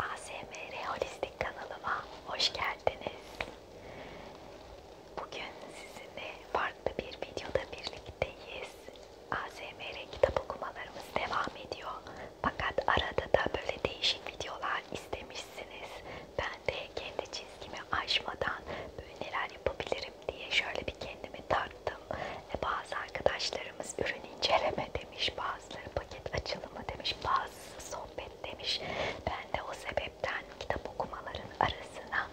ASMR Holistik kanalıma hoş geldiniz. Bugün sizinle farklı bir videoda birlikteyiz. ASMR kitap okumalarımız devam ediyor. Fakat arada da böyle değişik videolar istemişsiniz. Ben de kendi çizgimi aşmadan böyle neler yapabilirim diye şöyle bir kendimi tarttım aldım. E bazı arkadaşlarımız ürün inceleme demiş, bazıları paket açılımı demiş, bazı sohbet demiş. Ben de o sebepten kitap okumaların arasına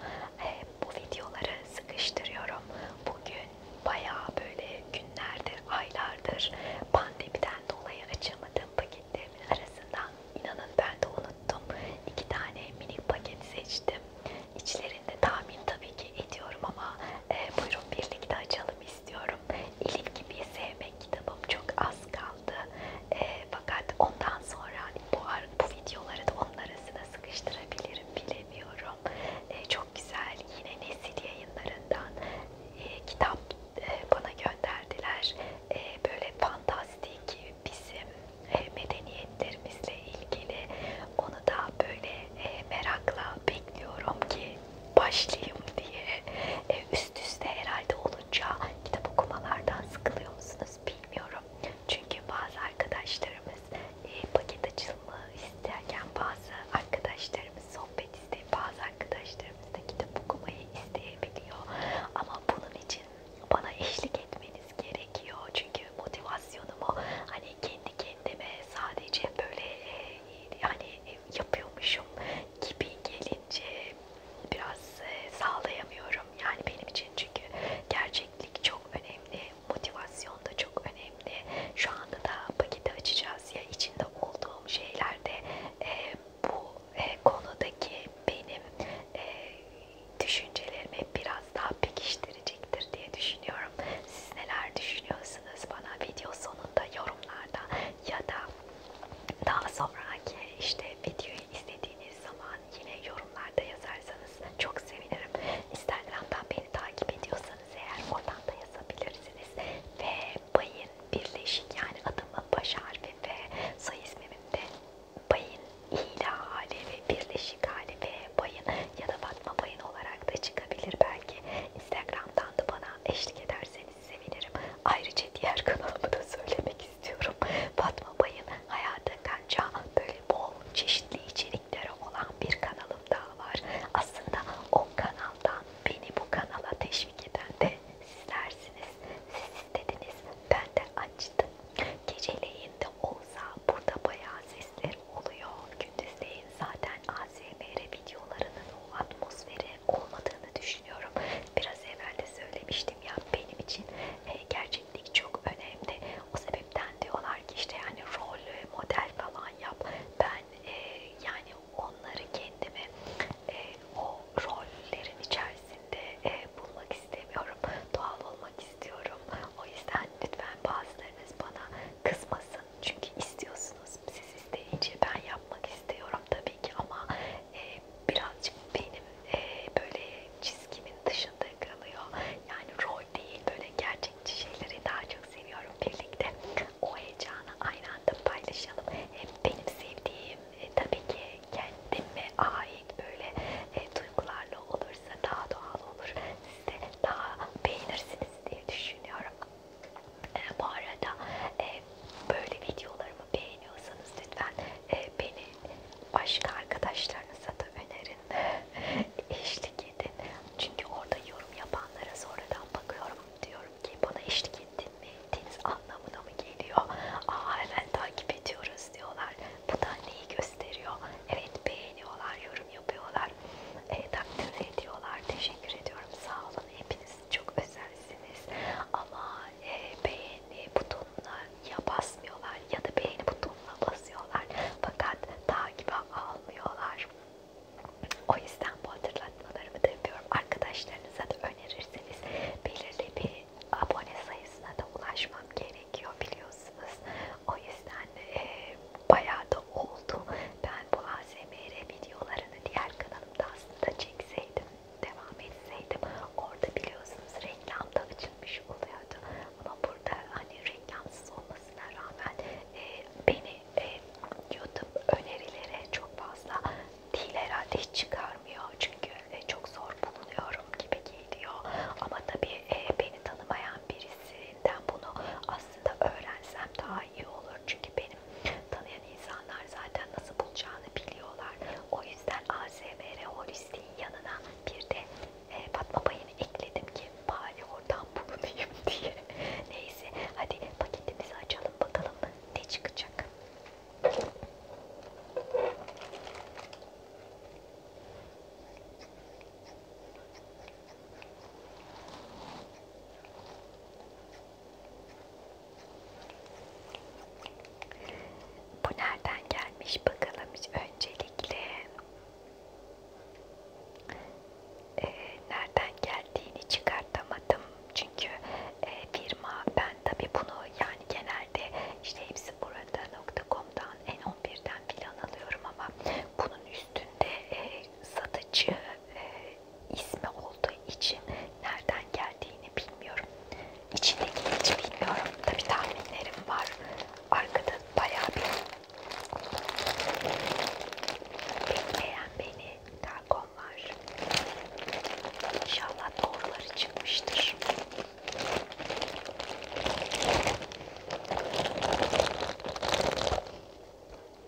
e, bu videoları sıkıştırıyorum. Bugün bayağı böyle günlerdir, aylardır pandemiden dolayı açamadığım paketlerimin arasından inanın ben de unuttum. İki tane minik paket seçtim. İçlerinde tahmin tabii ki ediyorum ama e, buyurun birlikte açalım istiyorum. İlik gibi sevmek kitabım çok az kaldı. E, fakat ondan sonra hani bu, bu videoları da onun arasına sıkıştırabilirim bilemiyorum. E, çok güzel yine nesil yayınlarından e, kitap e, bana gönderdiler. E, böyle fantastik bizim e, medeniyetlerimizle ilgili onu da böyle e, merakla bekliyorum ki başlayayım diye. E, üst üste herhalde olunca kitap okumalardan sıkılıyor musunuz bilmiyorum. Çünkü bazı arkadaşlarımız e, paket açılımı isterken bazı arkadaşlarımız sohbet ister, bazı arkadaşlarımız da kitap okumayı isteyebiliyor. Ama bunun için bana eşlik etmeniz gerekiyor. Çünkü motivasyonumu hani kendi kendime sadece böyle e, yani e, yapıyormuşum gibi gelince biraz e, sağlayamıyorum. Yani benim için çünkü gerçeklik çok önemli, motivasyon da çok önemli. Şu anda da paketi açacağız ya içinde olduğum şeylerde e, bu e, konudaki benim e, düşüncelerimi biraz daha pekiştirecektir diye düşünüyorum. Siz neler düşünüyorsunuz? yazacaksınız bana video sonunda yorumlarda ya da daha sonraki işte videoyu izlediğiniz zaman yine yorumlarda yazarsanız çok sevinirim. Instagram'dan beni takip ediyorsanız eğer oradan da yazabilirsiniz. Ve bayın birleşik yani adımın baş harfi ve soy ismimin de bayın ila hali ve birleşik hali ve bayın ya da kapatma payın olarak da çıkabilir belki. Instagram'dan da bana eşlik ederseniz sevinirim. Ayrıca diğer kanalımı da söylemek istiyorum. Fatma Bay'ın hayata kanca böyle bol çeşitli içerikleri olan bir kanalım daha var. Aslında o kanaldan beni bu kanala teşvik eden de sizlersiniz. Siz istediniz ben de açtım. Geceleyin de olsa burada bayağı sesler oluyor. Gündüzleyin zaten ASMR videolarının o atmosferi olmadığını düşünüyorum. Biraz evvel de söylemiştim ya benim için e, gerçeklik çok önemli. O sebepten diyorlar ki işte yani rol e, model falan yap. Ben e, yani onları kendimi o rollerin içerisinde bulmak istemiyorum. Doğal olmak istiyorum. O yüzden lütfen bazılarınız bana kızmasın. Çünkü istiyorsunuz. Siz isteyince ben yapmak istiyorum tabii ki ama e, birazcık benim e, böyle çizgimin dışında kalıyor. Yani rol değil böyle gerçekçi şeyleri daha çok seviyorum. Birlikte o heyecanı aynı anda paylaşalım. Hem benim sevdiğim e, tabii ki kendime ait böyle e, duygularla olursa daha doğal olur. Siz de daha beğenirsiniz diye düşünüyorum. E, bu arada e, böyle videolarımı beğeniyorsanız lütfen e, beni başka arkadaşlarınıza da önerin. eşlik edin. Çünkü orada yorum yapanlara sonradan bakıyorum. Diyorum ki bana eşlik ettin mi? Ettiğiniz anlamına mı geliyor? Aa hemen takip ediyoruz diyorlar. Bu da neyi gösteriyor? Evet beğeniyorlar, yorum yorum yapıyorlar. E, takdir ediyorlar. Teşekkür ediyorum. Sağ olun. Hepiniz çok özelsiniz. Ama e, beğeni butonuna ya basmıyorlar ya da beğeni butonuna basıyorlar. Fakat takibe almıyorlar. O yüzden bu hatırlatmalarımı da yapıyorum. Arkadaşlarınıza da önerirseniz belirli bir abone sayısına da ulaşmam gerekiyor biliyorsunuz. O yüzden e, bayağı da oldu. Ben ben bu ASMR videolarını diğer kanalımda aslında çekseydim, devam etseydim orada biliyorsunuz reklamda açılmış oluyordu. Ama burada hani reklamsız olmasına rağmen e, beni e, YouTube önerilere çok fazla değil herhalde hiç çıkarmıyor. Çünkü e, çok zor bulunuyorum gibi geliyor. Ama tabii e, beni tanımayan birisi birinden bunu aslında öğrensem daha iyi olur. Çünkü benim tanıyan insanlar zaten nasıl bulacağını biliyorlar. O yüzden ASMR holistiğin yanına bir de e, Fatma Payı'nı ekledim ki bari oradan bulunayım diye. Neyse hadi paketimizi açalım bakalım ne çıkacak. Bu nereden gelmiş bakalım öncelikle ee, nereden geldiğini çıkartamadım çünkü e, firma ben tabi bunu yani genelde işte hepsi burada.com'dan N11'den filan alıyorum ama bunun üstünde e, satıcı e, ismi olduğu için nereden geldiğini bilmiyorum. İçindeki hiç bilmiyorum. Tabi tahminlerim var. Arkada bayağı bir bekleyen beni Tarkon var. İnşallah doğruları çıkmıştır.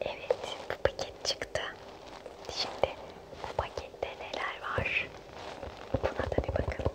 Evet, bu paket çıktı. Şimdi bu pakette neler var? Buna da bir bakalım.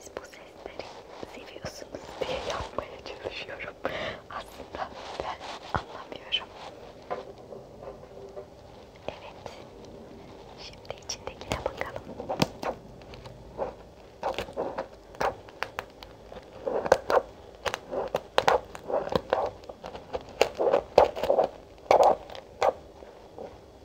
Siz bu sesleri seviyorsunuz diye yapmaya çalışıyorum. Aslında ben anlamıyorum. Evet. Şimdi içindekine bakalım.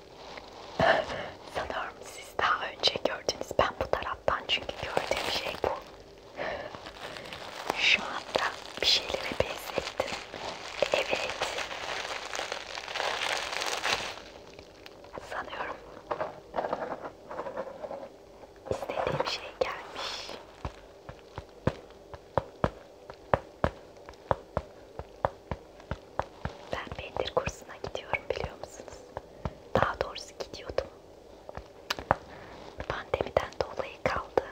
Sanıyorum siz daha önce gördünüz. Ben bu taraftan çünkü gördüğüm şey bu. Şu anda bir şeylere benzettim. Evet. Sanıyorum istediğim şey gelmiş. Ben pendir kursuna gidiyorum biliyor musunuz? Daha doğrusu gidiyordum. Pandemiden dolayı kaldı.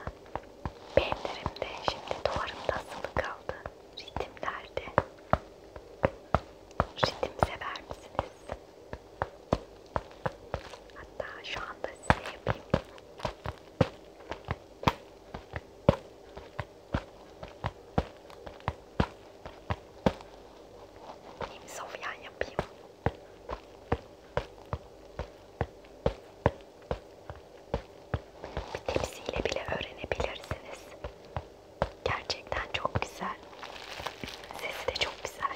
Pendirimde şimdi duvarımda asılı kaldı. Ritimlerde. Ritim sever misiniz? Hatta şu anda size yapayım. Yeni sofyan yapayım. Bir tepsiyle bile öğrenebilirsiniz. Gerçekten çok güzel. Sesi de çok güzel.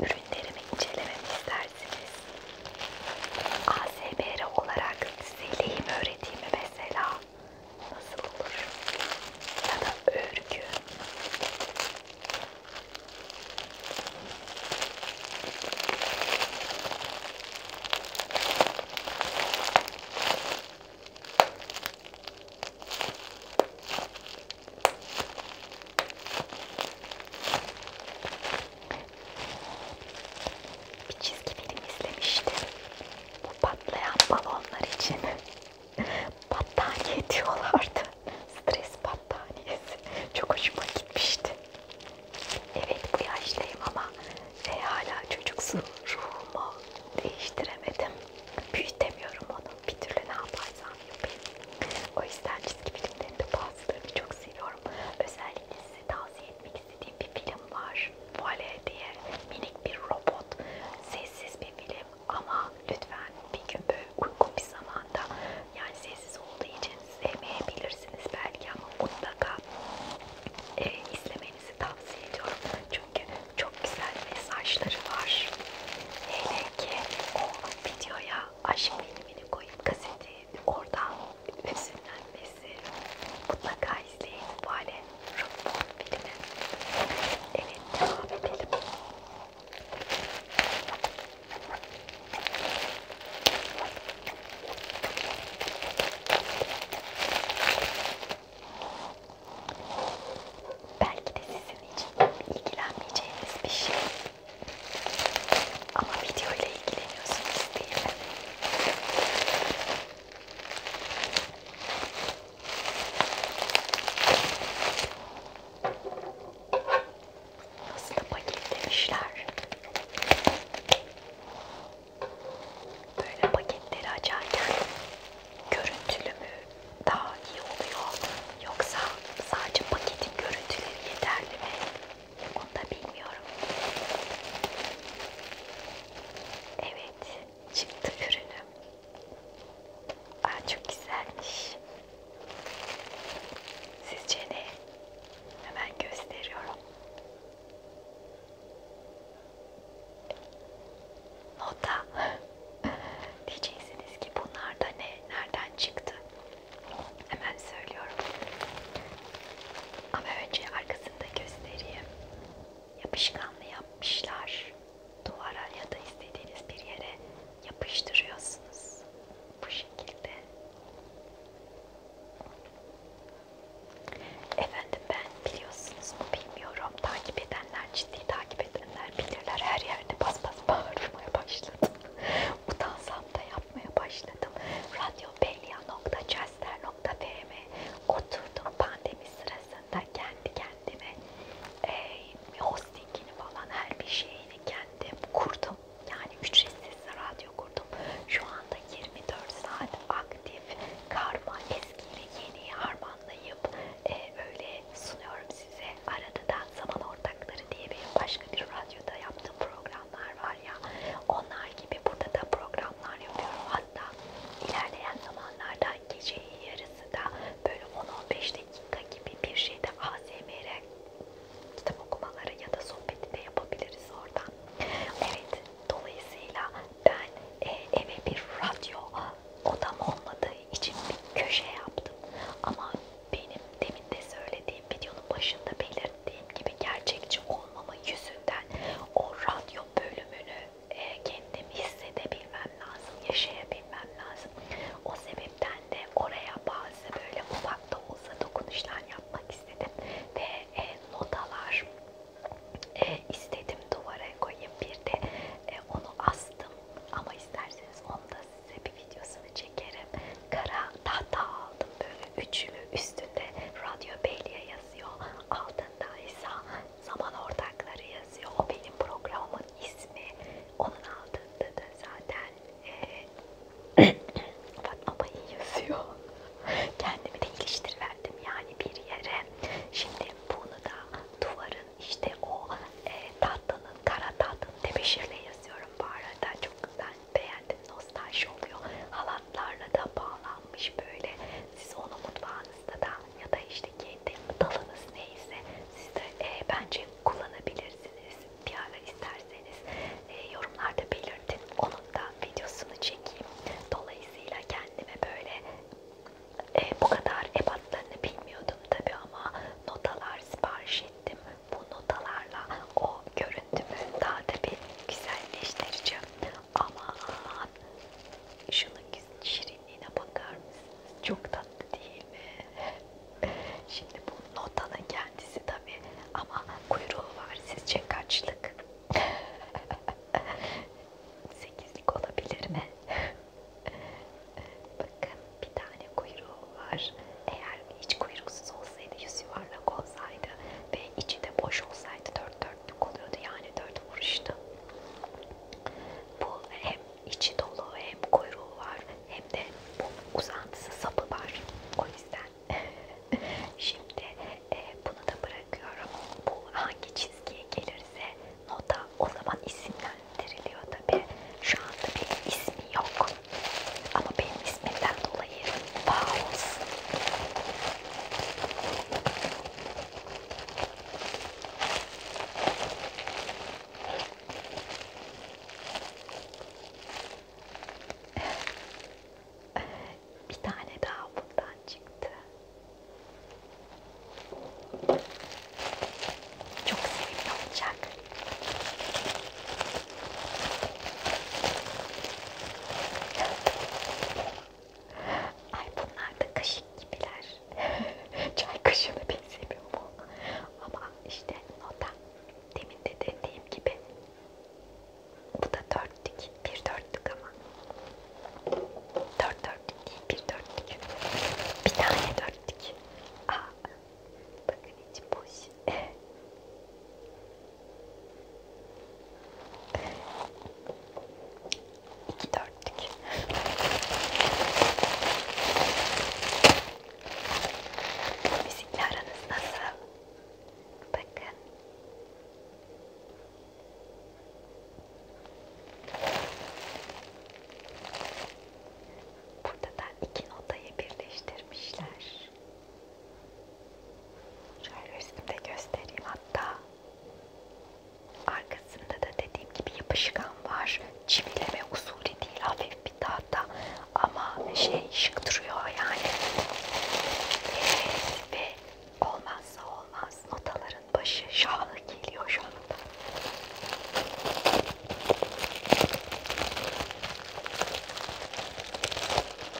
ürünlerimi incelememi istersiniz. ASMR olarak size lehim öğretimi mesela nasıl olur? Ya da örgü bir çizgi film izlemiştim. Bu patlayan balonlar için battaniye diyorlardı. Stres battaniyesi. Çok hoşuma gitmişti. Evet bu yaşlıyım ama e, hala çocuksu ruhumu değiştiremedim. Büyütemiyorum onu. Bir türlü ne yaparsam yapayım. O yüzden çizgi filmlerini de bazılarını çok seviyorum istiyorum. Özellikle size tavsiye etmek istediğim bir film var. Vale diye minik bir robot. Sessiz bir film ama lütfen bir gün böyle uygun bir zamanda yani sessiz olduğu için sevmeyebilirsiniz belki ama mutlaka e, izlemenizi tavsiye ediyorum. Çünkü çok güzel mesajları var. Hele ki o videoya aşk filmini koyup kaseti oradan Esinlenmesi mutlaka izleyin. Vale Rumpon filmi. Evet devam edelim. Belki de sizin için ilgilenmeyeceğiniz bir şey ama videoyla ilgileniyorsunuz değil mi? Nasıl da paketlemişler. Böyle paketleri açarken görüntülü mü daha iyi oluyor yoksa sadece paketin görüntüleri yeterli mi? Onu da bilmiyorum. Evet, çıktı ürünü. Aa, çok güzelmiş. Sizce ne? Hemen gösteriyorum. Nota. Diyeceksiniz ki bunlar da ne? Nereden çıktı? Hemen söylüyorum. Ama önce arkasında göstereyim. Yapışkanlı yapmışlar. Duvara ya da istediğiniz bir yere yapıştırıyorsunuz. Bu şekilde. Efendim ben biliyorsunuz mu bilmiyorum. Takip edenler, ciddi takip edenler bilirler. Her yerde bas bas bağırmaya başladım. Utansam da yap yapmaya başladım. Radyopelya.chester.fm'e oturdum pandemi sırasında kendi kendime e, hostingini falan her bir şeyini kendim kurdum. Yani ücretsiz radyo kurdum. Şu anda 24 saat aktif karma eskiyle yeniyi harmanlayıp e, öyle sunuyorum size. Arada da zaman ortakları diye benim başka bir radyoda yaptığım programlar var var ya onlar gibi burada da programlar yapıyorum hatta ilerleyen zamanlarda gece yarısı da böyle 10-15 dakika gibi bir şeyde ASMR kitap okumaları ya da sohbeti de yapabiliriz oradan. Evet dolayısıyla ben e, eve bir radyo odam olmadığı için bir köşe yaptım ama benim demin de söylediğim videonun başında belirttiğim dediğim gibi gerçekçi olmama yüzünden o radyo bölümünü e, kendim hissedebilmem lazım, yaşayabilmem lazım. O sebepten de oraya bazı böyle ufak da olsa dokunuşlar yapmak istedim ve e, notalar e, istedim duvara koyayım bir de e, onu astım ama isterseniz onu da size bir videosunu çekerim kara tahta aldım böyle üçlü üstünde Radyo Belya yazıyor altında ise zaman ortakları yazıyor o benim programın ismi onun altında da zaten e, Fatma Bey yazıyor kendimi de iliştiriverdim yani bir yere şimdi bunu da duvarın işte o e, tatlının kara tatlının tebeşirle yazıyorum bu arada çok güzel beğendim nostalji oluyor halatlarla da bağlanmış böyle siz onu mutfağınızda da ya da işte kendi dalınız neyse siz de e, bence kullanabilirsiniz bir ara isterseniz e, yorumlarda belirtin onun da videosunu çekeyim dolayısıyla kendime böyle e, bu kadar ebatlarını bilmiyordum tabi ama notalar sipariş ettim bu notalarla o görüntü kendimi daha da bir güzelleştireceğim. Aman şunun şirinliğine bakar mısınız? Çok tatlı değil mi? Şimdi bu notanın kendisi tabii ama kuyruğu var. Sizce kaçlık? Sekizlik olabilir mi? Bakın bir tane kuyruğu var. Eğer hiç kuyruksuz olsaydı, yüz yuvarlak olsaydı ve içi de boş olsaydı dört dörtlük oluyordu yani dört vuruştu. Bu hem içi dolu hem kuyruğu var hem de bu uzantısı sapı var. O yüzden şimdi e, bunu da bırakıyorum. Bu hangi çizgiye gelirse nota o zaman isimlendiriliyor tabi. Şu anda bir ismi yok ama benim isminden dolayı Bowls. Bir tane daha bundan çıktı. Çok sevimli olacak. Ay bunlar da kaşık gibiler. Çay kaşığına benzemiyor mu? Ama işte nota. Demin de dediğim gibi. Bu da dörtlük. Bir dörtlük ama. Dört dörtlük değil. Bir dörtlük. Bir tane dörtlük. Aa, bakın içi boş. İki dörtlük. Müzikle aranız nasıl? Bakın. Burada da iki notayı birleştirmişler. Şöyle üstümde göstereyim hatta. Arkasında da dediğim gibi yapışkan var. Çivileme usulü değil, hafif bir tahta ama şey şık duruyor yani. Evet, ve olmazsa olmaz notaların başı şahı geliyor şu anda.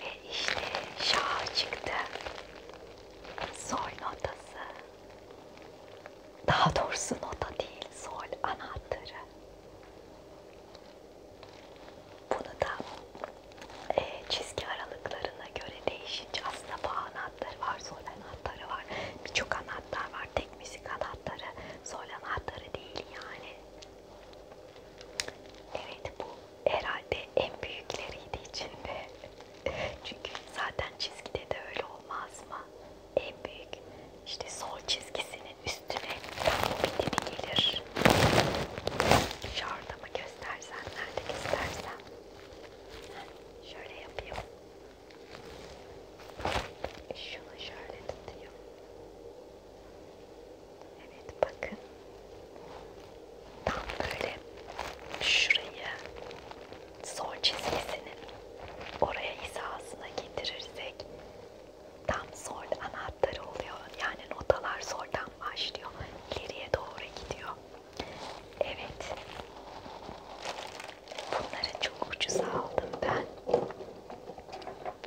Ve işte şah çıktı. Sol notası. Daha doğrusu nota değil, sol anahtarı. Bunu da e, çizgi aralıklarına göre değişince aslında bağına anahtarı var, sol anahtarı var. Birçok anahtar var. Tek müzik anahtarı, sol anahtarı değil yani. Evet bu herhalde en büyükleriydi içinde. Çünkü zaten çizgide de öyle olmaz mı? En büyük işte sol çizgisinin üstüne bitimi gelir. Şurada mı göstersen, nerede göstersen. Şöyle yapayım. Şunu şöyle tutayım. Evet bakın. Tam böyle şurayı sol çizgisini oraya hizasına getirirsek tam sol anahtarı oluyor. Yani notalar soldan başlıyor. ileriye doğru gidiyor. Evet. Bunları çok ucuza aldım ben.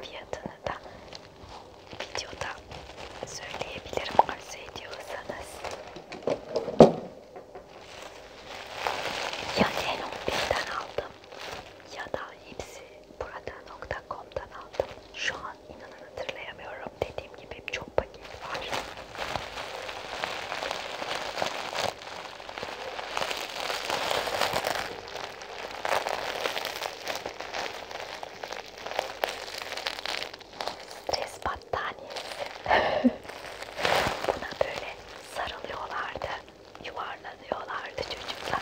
Fiyatını da videoda söyleyebilirim arzu ediyorsanız. Ya N11'den aldım ya da hepsi burada.com'dan aldım. Şu an inanın hatırlayamıyorum bilmiyorum. Dediğim gibi çok paket var. Stres battaniyesi. Buna böyle sarılıyorlardı, yuvarlanıyorlardı çocuklar.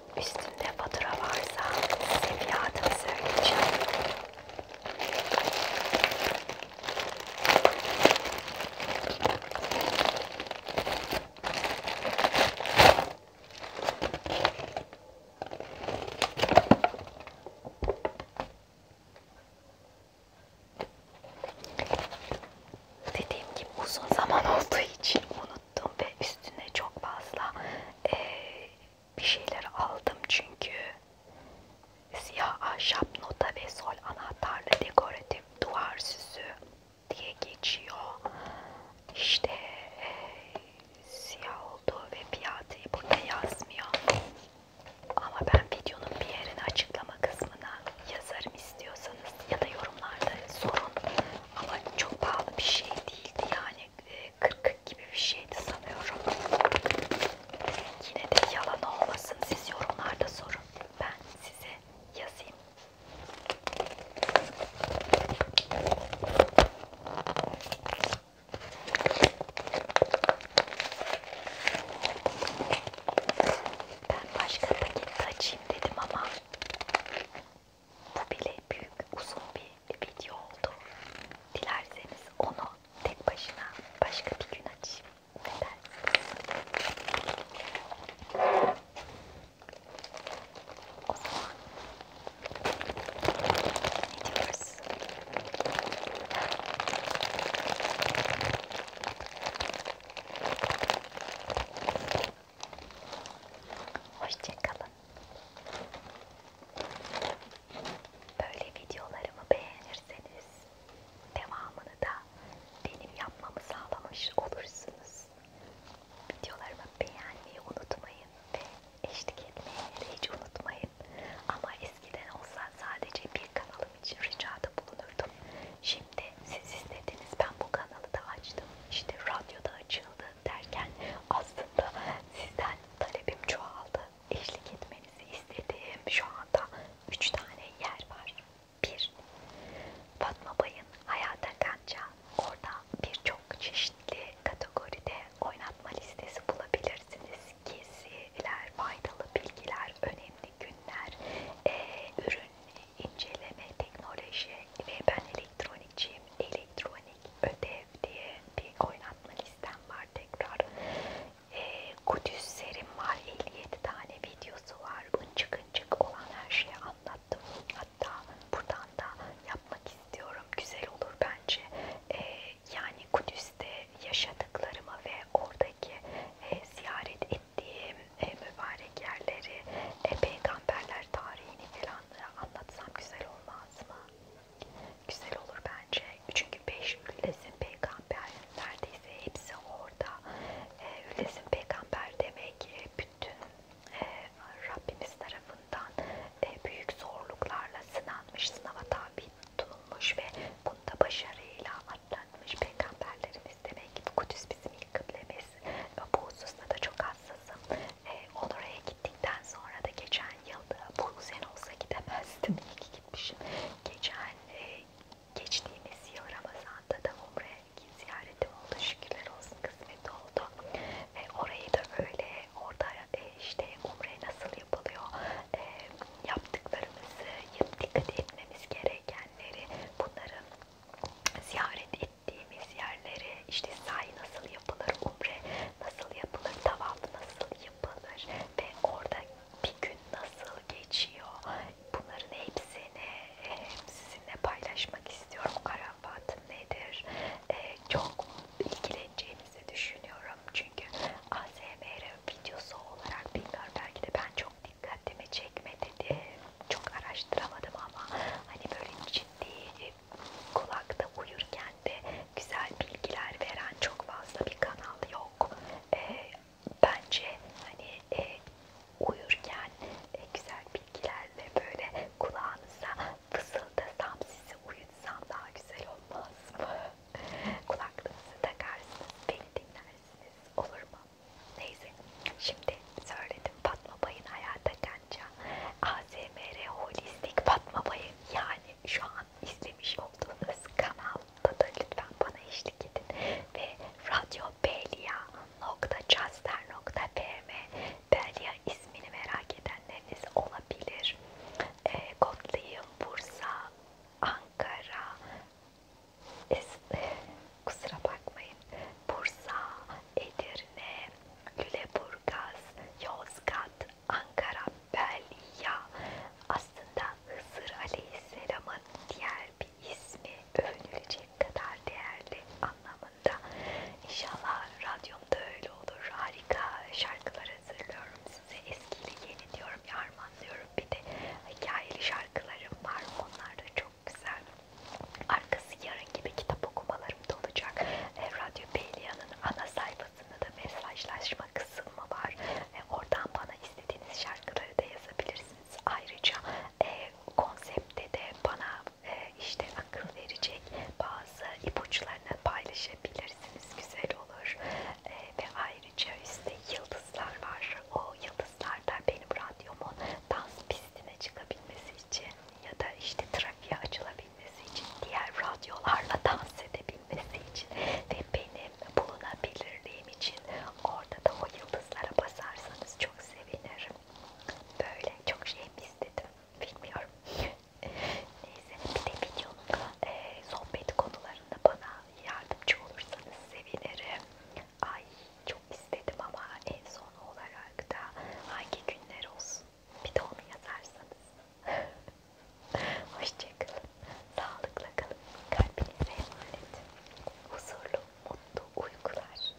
Üstünde fatura varsa size fiyatını söyleyeceğim. Dediğim gibi uzun zaman olduğu için onu unuttum ve üstüne çok fazla e, bir şeyler aldım çünkü siyah ahşap nota ve sol anahtarlı dekoratif duvar süsü diye geçiyor. İşte e, siyah oldu ve fiyatı burada yazmıyor. Ama ben videonun bir yerini açıklama kısmına yazarım istiyorsanız ya da yorumlarda sorun. Ama çok pahalı bir şey değildi yani 40 ee, gibi bir şeydi sanıyorum. Yine de yalan olmasın siz yorumlarda sorun. Ben size yazayım. Ben başka paket açayım dedim ama bu bile büyük uzun bir video oldu. Dilerseniz onu tek başına başka bir gün açayım. Neden? O zaman ne diyoruz? Hoşçakalın. Böyle videolarımı beğenirseniz devamını da benim yapmamı sağlamış olursunuz. Videolarımı beğenmeyi unutmayın ve eşlik etmeyi hiç unutmayın. Ama eskiden olsa sadece bir kanalım için ricada bulunurdum. Şimdi siz istediniz ben bu kanalı da açtım. İşte radyoda açıyorum ayrıldı derken aslında sizden talebim çoğaldı. Eşlik etmenizi istediğim şu anda 3 tane yer var. 1. Fatma Bay'ın Hayata Kanca. Orada birçok çeşitli kategoride oynatma listesi bulabilirsiniz. Geziler, faydalı bilgiler, önemli günler, e, ürün, inceleme, teknoloji ve ben elektronikçiyim, elektronik ödev diye bir oynatma listem var tekrar. E, Kudüs serim var, 57 tane videosu var. Bıncık olan her şeyi anlattım. Hatta buradan da yapmak istiyorum. Güzel olur bence. E, yani Kudüs'te yaşadıklarımı ve oradaki e, ziyaret ettiğim e, mübarek yerleri, e, peygamberler tarihini falan anlatsam güzel olur olmaz mı? Güzel olur bence. Çünkü beş üllesin peygamber neredeyse hepsi orada. E, ee, üllesin peygamber demek e, bütün e, Rabbimiz tarafından e, büyük zorluklarla sınanmış, sınava tabi tutulmuş ve bunda başarıyla atlatmış peygamberlerimiz demek ki bu Kudüs bizim ilk kıblemiz hassasız. Bu hususuna da çok hassasım. E, ee, oraya gittikten sonra da geçen yılda bu sene olsa gidemezdim. İyi ki gitmişim. Geçen e, geçtiğimiz yıl Ramazan'da da Umre'ye ziyaretim oldu. Şükürler olsun kısmet oldu. E, orayı da öyle orada e, işte Umre nasıl yapılıyor e, yaptıklarımızı dikkat etmemiz gerekenleri bunları ziyaret ettik gittiğimiz yerleri işte say nasıl yapılır, umre nasıl yapılır, tavaf nasıl yapılır ve orada bir gün nasıl geçiyor bunların hepsini sizinle paylaşmak istiyorum. Arafat nedir? E, çok ilgileneceğinizi düşünüyorum çünkü ASMR videosu olarak bilmiyorum belki de ben çok dikkatimi çekmedi diye çok araştıramadım ama hani böyle ciddi kulakta uyurken de güzel bilgiler veren çok fazla bir kanal yok. Ee, bence hani e, uyurken e, güzel bilgilerle böyle kulağınıza fısıldasam sizi uyutsam daha güzel olmaz mı? Kulaklığınızı takarsınız, beni dinlersiniz olur mu? Neyse şimdi söyledim Fatma Bay'ın hayata Taylanca ASMR Holistik Fatma Bayı yani şu an izlemiş olduğunuz kanalda da lütfen bana eşlik edin ve Radyo Belia.caster.pm Belia ismini merak edenleriniz olabilir. E, Kotluyum, Bursa, Ankara, es- e, kusura bakmayın, Bursa, Edirne, Lüleburgaz, Burgaz, Yozgat, Ankara, Belya aslında Hızır Aleyhisselam'ın diğer bir ismi övünülecek kadar değerli anlamında. İnşallah radyomda öyle olur. Harika şarkılar hazırlıyorum size. Eskiyle yeni diyorum, yarmanlıyorum. Bir de hikayeli şarkılarım var. Onlar da çok güzel. Arkası yarın gibi kitap okumaları durumda olacak. E, Radyo Pelia'nın ana sayfasında da mesajlaşma kısmı var. E, oradan bana istediğiniz şarkıları da yazabilirsiniz. Ayrıca e, konsepte de bana e, işte akıl verecek bazı ipuçlarını paylaşabilirsiniz. Güzel olur. E, ve ayrıca üstte yıldızlar var. O yıldızlar da benim radyomun dans pistine çıkabilmesi için ya da işte trafiğe açılabilir edebilmesi için, diğer radyolarla dans edebilmesi için ve benim bulunabilirliğim için orada da o yıldızlara basarsanız çok sevinirim. Böyle çok şey mi istedim bilmiyorum. Neyse bir de videonun e, sohbet konularında bana yardımcı olursanız sevinirim. Ay çok istedim ama en son olarak da hangi günler olsun bir de onu yazarsanız. Hoşçakalın. Sağlıkla kalın. Kalbinize emanet. Huzurlu, mutlu uykular.